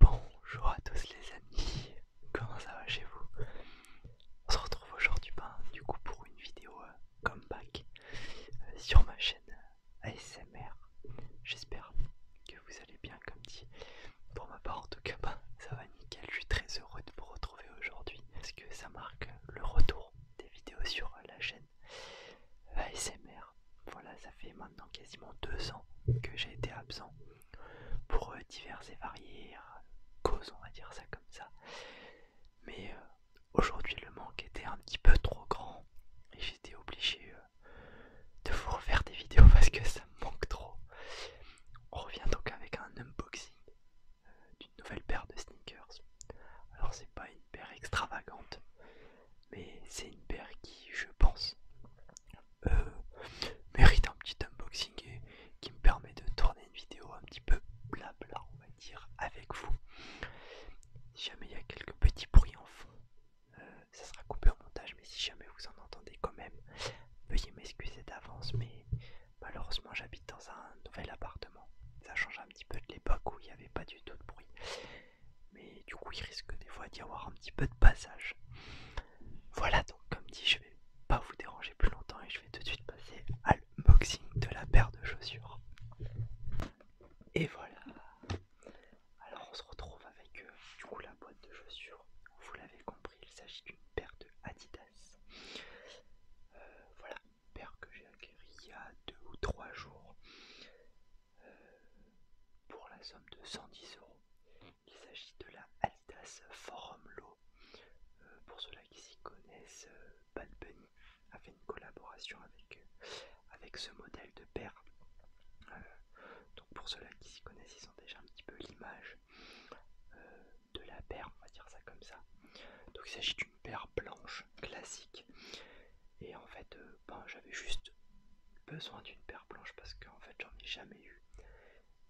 Bonjour à tous les amis, comment ça va chez vous On se retrouve aujourd'hui ben, pour une vidéo euh, comeback euh, sur ma chaîne euh, ASMR. J'espère que vous allez bien comme dit. Pour ma part en tout cas ben, ça va nickel, je suis très heureux de vous retrouver aujourd'hui parce que ça marque le retour des vidéos sur la chaîne ASMR. Voilà, ça fait maintenant quasiment deux ans que j'ai été absent pour euh, divers et variés hein, causes, on va dire ça comme ça. Mais euh, aujourd'hui, le manque était un petit peu trop grand et j'étais obligé euh, de vous refaire des vidéos parce que ça manque trop. On revient donc avec un unboxing d'une nouvelle paire de sneakers. Alors, c'est pas une paire extravagante, mais c'est une paire qui, je pense, euh, mérite un petit unboxing et qui me permet de tourner une vidéo un petit peu blabla, on va dire, avec vous. Si jamais il y a quelques petits bruits en fond, euh, ça sera coupé au montage, mais si jamais vous en entendez quand même, veuillez m'excuser d'avance, mais malheureusement j'habite dans un nouvel appartement. Ça change un petit peu de l'époque où il n'y avait pas du tout de bruit mais du coup il risque des fois d'y avoir un petit peu de passage. Voilà donc comme dit je vais pas vous déranger plus longtemps et je vais tout de suite passer à l'unboxing de la paire de chaussures. Et voilà. Alors on se retrouve avec euh, du coup la boîte de chaussures. Vous l'avez compris, il s'agit d'une paire de Adidas. Euh, voilà, paire que j'ai acquérie il y a deux ou trois jours euh, pour la somme de 110 euros. Il s'agit de la Adidas Forum Law. Euh, pour ceux-là qui s'y connaissent, euh, Bad Bunny a fait une collaboration avec, euh, avec ce modèle de paire. donc pour ceux-là qui s'y connaissent, ils ont déjà un petit peu l'image de la paire, on va dire ça comme ça. Donc il s'agit d'une paire blanche classique. Et en fait, ben, j'avais juste besoin d'une paire blanche parce qu'en fait j'en ai jamais eu.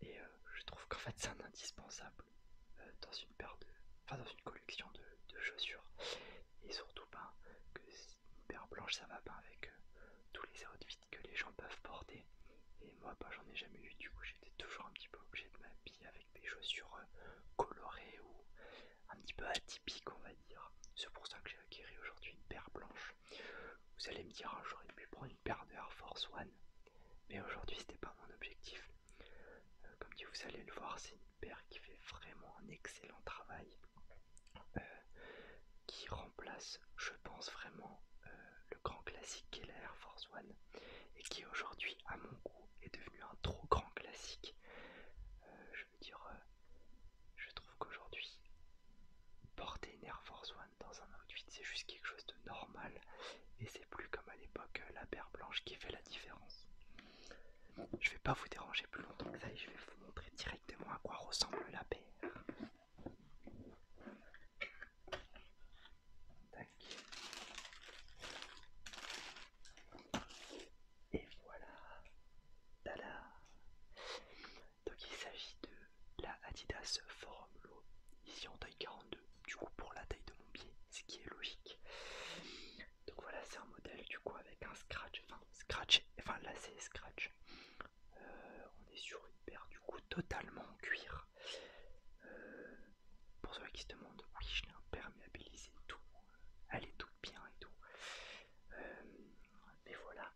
Et euh, je trouve qu'en fait c'est un indispensable euh, dans une paire de. Enfin dans une collection de, chaussures. Et surtout pas ben, que une paire blanche ça va pas avec euh, tous les outfits que les gens peuvent porter. Et moi pas ben, j'en ai jamais eu du coup j'étais toujours un petit peu obligé de m'habiller avec des chaussures colorées ou un petit peu atypiques on va dire. C'est pour ça que j'ai acquis aujourd'hui une paire blanche. Vous allez me dire, j'aurais lui prendre une paire de Air Force One, mais aujourd'hui c'était pas mon objectif. Euh, comme dit, vous allez le voir, c'est une paire qui fait vraiment un excellent travail, euh, qui remplace, je pense vraiment, euh, le grand classique qu'est la Air Force One, et qui aujourd'hui, à mon goût, est devenu un trop grand classique. je veux dire, je trouve qu'aujourd'hui, porter une Air Force One dans un outfit, c'est juste quelque chose de normal. Et c'est plus comme à l'époque euh, la paire blanche qui fait la différence. Je vais pas vous déranger plus longtemps que ça et je vais vous montrer directement à quoi ressemble la paire. Tac. Et voilà. dala. Donc il s'agit de la Adidas Forum Low, ici en taille 42, du coup pour la taille de mon pied, ce qui est logique. Donc voilà, c'est un modèle du coup avec un scratch, enfin scratch, enfin là c'est scratch. Euh, on est sur une paire du coup totalement en cuir. Euh, pour ceux qui se demandent, oui je l'ai imperméabilisé tout, elle est toute bien et tout. Euh, mais voilà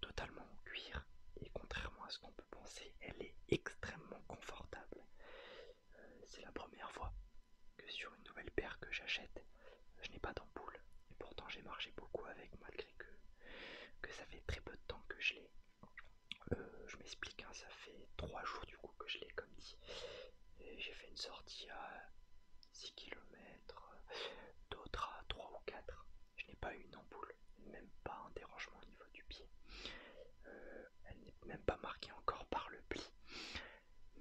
totalement cuir et contrairement à ce qu'on peut penser, elle est extrêmement confortable. Euh, c'est la première fois que sur une nouvelle paire que j'achète, je n'ai pas d'ampoule. Et pourtant j'ai marché beaucoup avec malgré que, ça fait très peu de temps que je l'ai. Euh, je m'explique, hein, ça fait trois jours du coup que je l'ai comme dit. J'ai fait une sortie à 6 km, d'autres à 3 ou 4. Je n'ai pas eu une ampoule, même pas un dérangement au niveau du pied. Euh, elle n'est même pas marquée encore par le pli.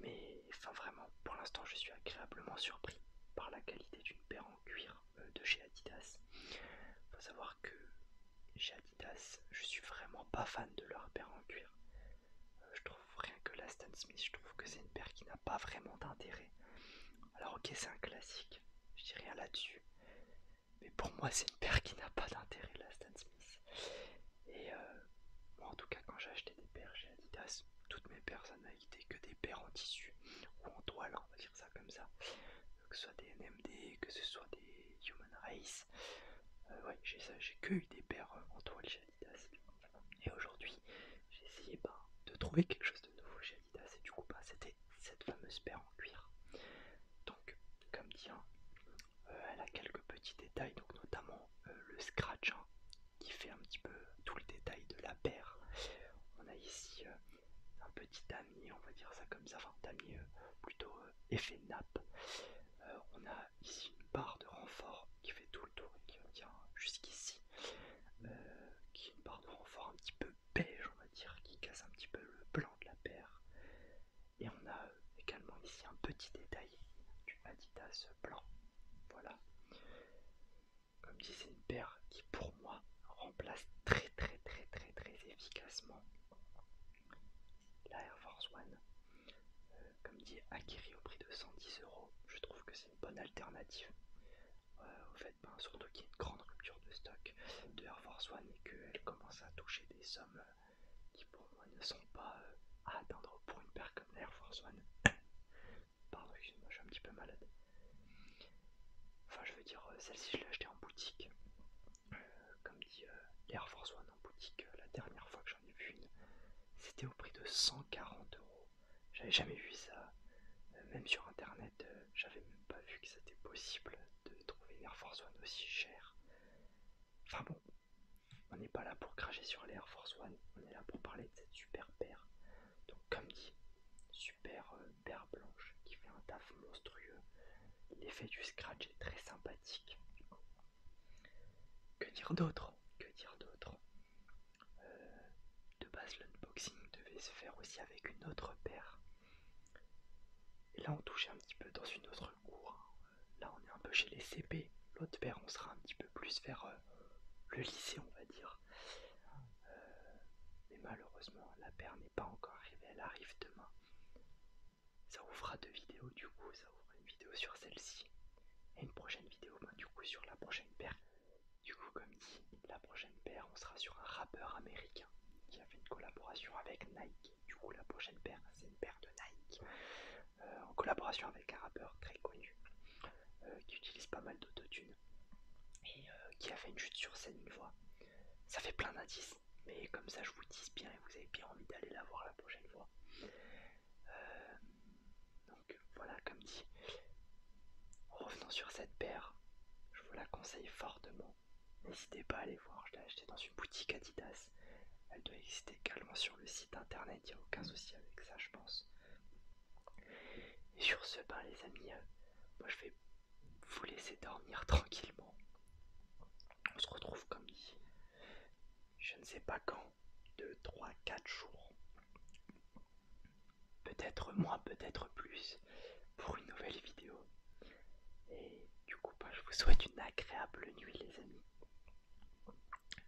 Mais enfin vraiment, pour l'instant je suis agréablement surpris par la qualité d'une paire en cuir euh, de chez Adidas. Faut savoir que chez Adidas, je suis vraiment pas fan de leur paire en cuir. Euh, je trouve rien que la Smith, je trouve que c'est une paire qui n'a pas vraiment d'intérêt. Alors ok, c'est un classique, je dis rien là-dessus. Mais pour moi, c'est une paire qui n'a pas d'intérêt, la Stan Smith. Et euh, moi, en tout cas, quand j'ai acheté des paires chez Adidas, toutes mes paires, ça été que des paires en tissu ou en toile, on va dire ça comme ça. Euh, que ce soit des NMD, que ce soit des Human Race. Euh, ouais, j'ai que eu des paires en toile chez Adidas. Et aujourd'hui, j'ai essayé ben, de trouver quelque chose de nouveau c'était cette fameuse paire en cuir. Donc comme dit, hein, euh, elle a quelques petits détails, donc notamment euh, le scratch hein, qui fait un petit peu tout le détail de la paire. On a ici euh, un petit ami on va dire ça comme ça, enfin damier plutôt effet nappe. on a ici une barre de renfort qui fait tout le tour et qui tient jusqu'ici. Euh, qui est une barre renfort un petit peu beige, on va dire, qui casse un petit peu le blanc de la paire. Et on a euh, également ici un petit détail du Adidas blanc. Voilà. Comme dit, c'est une paire qui pour moi remplace très très très très très efficacement la Air Force One. Euh, comme dit, acquérie au prix de 110 euros. Je trouve que c'est une bonne alternative euh, au fait, ben, surtout qu'il y a une grande rupture de stock de Air Force One et qu'elle commence à toucher des sommes euh, qui pour moi ne sont pas euh, à atteindre pour une paire comme l'Air Force One. Pardon, excuse-moi, je suis un petit peu malade. Enfin, je veux dire, celle-ci je l'ai achetée en boutique. comme dit l'Air Force One en boutique, la dernière fois que j'en ai vu une, c'était au prix de 140 euros j'avais jamais vu ça. Euh, même sur internet, euh, j'avais même pas vu que c'était possible de trouver une Air Force One aussi chère. Enfin bon, on n'est pas là pour cracher sur l'Air Force One, on est là pour parler de cette super paire. Donc comme dit, super euh, paire blanche qui fait un taf monstrueux. L'effet du scratch est très sympathique. Que dire d'autre Que dire d'autre euh, de base, l'unboxing devait se faire aussi avec une autre paire. Et là, on touche un petit peu dans une autre cour. Là, on est un peu chez les CP. L'autre paire, on sera un petit peu plus vers euh, le lycée, on va dire. Euh, mais malheureusement, la paire n'est pas encore arrivée. Elle arrive demain. Ça ouvrira deux vidéos, du coup. Ça ouvrira une vidéo sur celle-ci. Et une prochaine vidéo, ben, du coup, sur la prochaine paire. Du coup, comme dit, la prochaine paire, on sera sur un rappeur américain qui a fait une collaboration avec Nike. Du coup, la prochaine paire, c'est une paire de Nike euh, en collaboration avec un rappeur très connu euh, qui utilise pas mal d'autotunes et euh, qui a fait une chute sur scène une fois. Ça fait plein d'indices, mais comme ça, je vous dis bien et vous avez bien envie d'aller la voir la prochaine fois. donc voilà, comme dit, revenons sur cette paire. Je vous la conseille fortement. N'hésitez pas à aller voir, je l'ai achetée dans une boutique Adidas. Elle doit exister également sur le site internet, il n'y a aucun souci avec ça, je pense. Et sur ce, ben les amis, euh, moi je vais vous laisser dormir tranquillement. On se retrouve comme dit, je ne sais pas quand, 2, 3, 4 jours peut-être moins, peut-être plus, pour une nouvelle vidéo. Et du coup, bah, je vous souhaite une agréable nuit, les amis.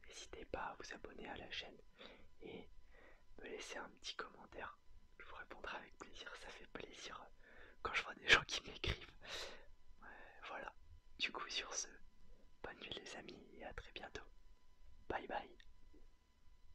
N'hésitez pas à vous abonner à la chaîne et me laisser un petit commentaire. Je vous répondrai avec plaisir, ça fait plaisir quand je vois des gens qui m'écrivent. voilà, du coup, sur ce, bonne nuit, les amis, et à très bientôt. Bye bye.